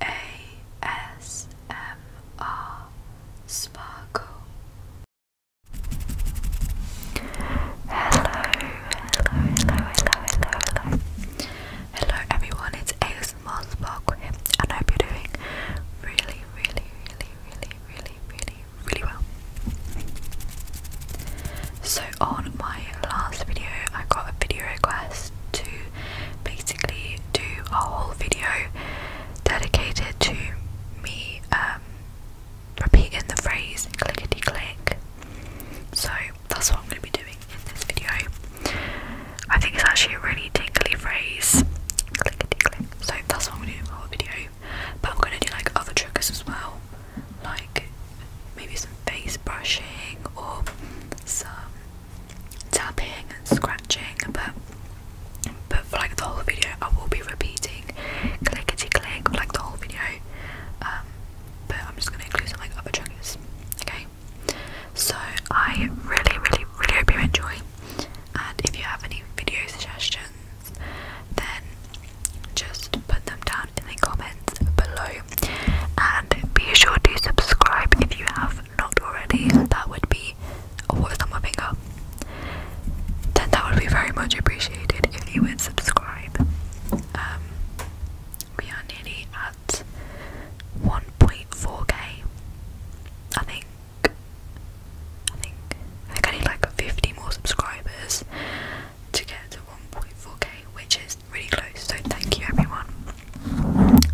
ASMR Sparkle. Hello, hello, hello, hello, hello, hello. Hello everyone, it's ASMR Sparkle here, and I hope you're doing really, really, really, really, really, really, really well. So on my last video, I got a video request to basically do a whole video dedicated to me um, repeating the phrase clickety click. So that's what I'm going to be doing in this video. I think it's actually a really tingly phrase. Clickety click. So that's what I'm going to do in the video. But I'm going to do like other triggers as well, like maybe some face brushing or some tapping and scratching but but for like the whole video I will be repeating clickety click like the whole video um, but I'm just gonna include some like other triggers okay so I really really really hope you enjoy and if you have any video suggestions then just put them down in the comments below and be sure to subscribe if you have not already. That would be a what's on my finger? Then that would be very much appreciated if you would subscribe. Um, we are nearly at 1.4k. I think. I think. I think I need like 50 more subscribers to get to 1.4k, which is really close. So thank you, everyone.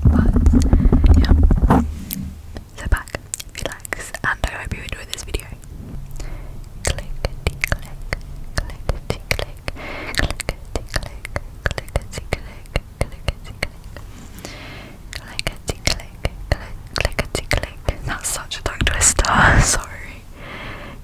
But yeah, sit back, relax, and I hope you enjoy this video. Click, click, click, click, click, click, click, click, click. Clickety click, clickety click. That's such a tongue twister. Sorry.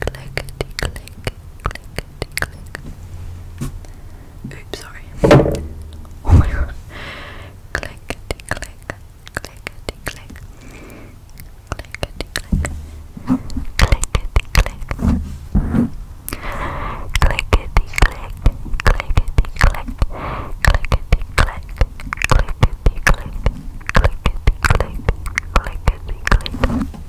clickety, click, clickety, click. Oops, sorry. Oh my god. Clickety, click, clickety, click. Clickety, click. Clickety, click. Clickety, click, clickety, click. Clickety, click, clickety, click. Clickety, click, clickety, click.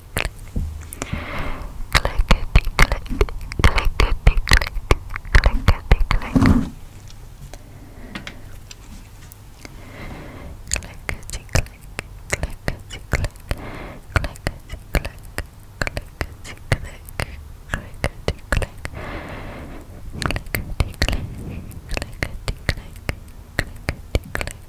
clickety click, clickety click, clickety click. Clickety click, clickety click, clickety click, clickety click, clickety click, clickety click, clickety click, clickety click,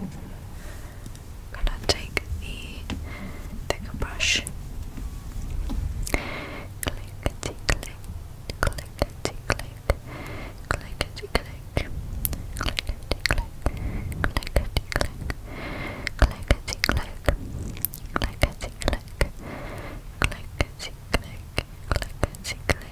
I'm gonna take the thicker brush. Clickety click, clickety click, clickety click, clickety click, clickety click, clickety click, clickety click, clickety click, clickety click.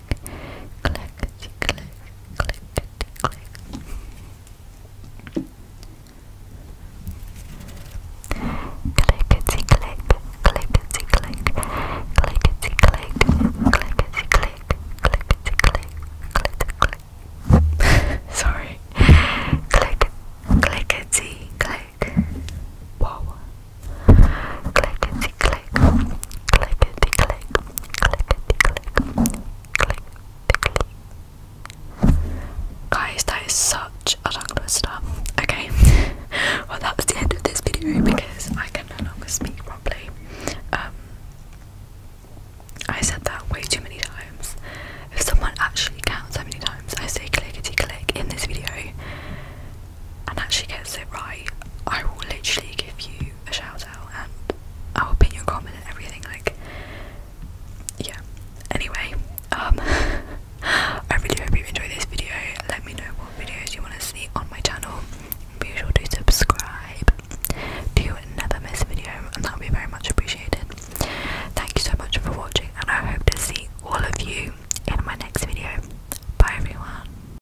click, click, click, click. Clickety click, clickety click, clickety click, clickety click, clickety click, clickety click. Sorry. Click, clickety click. Wow. Clickety click, click, clickety click, clickety click, click, click. Guys, that is such a long list up. Okay, well that was the end of this video because I can no longer speak properly. Um, I said that way too many times. If someone actually counts how many times I say clickety click in this video and actually gets it right, I will literally give you a shout and our opinion comment and everything like yeah anyway um I really hope you enjoyed this video let me know what videos you want to see on my channel be sure to subscribe to never miss a video and that would be very much appreciated thank you so much for watching and I hope to see all of you in my next video bye everyone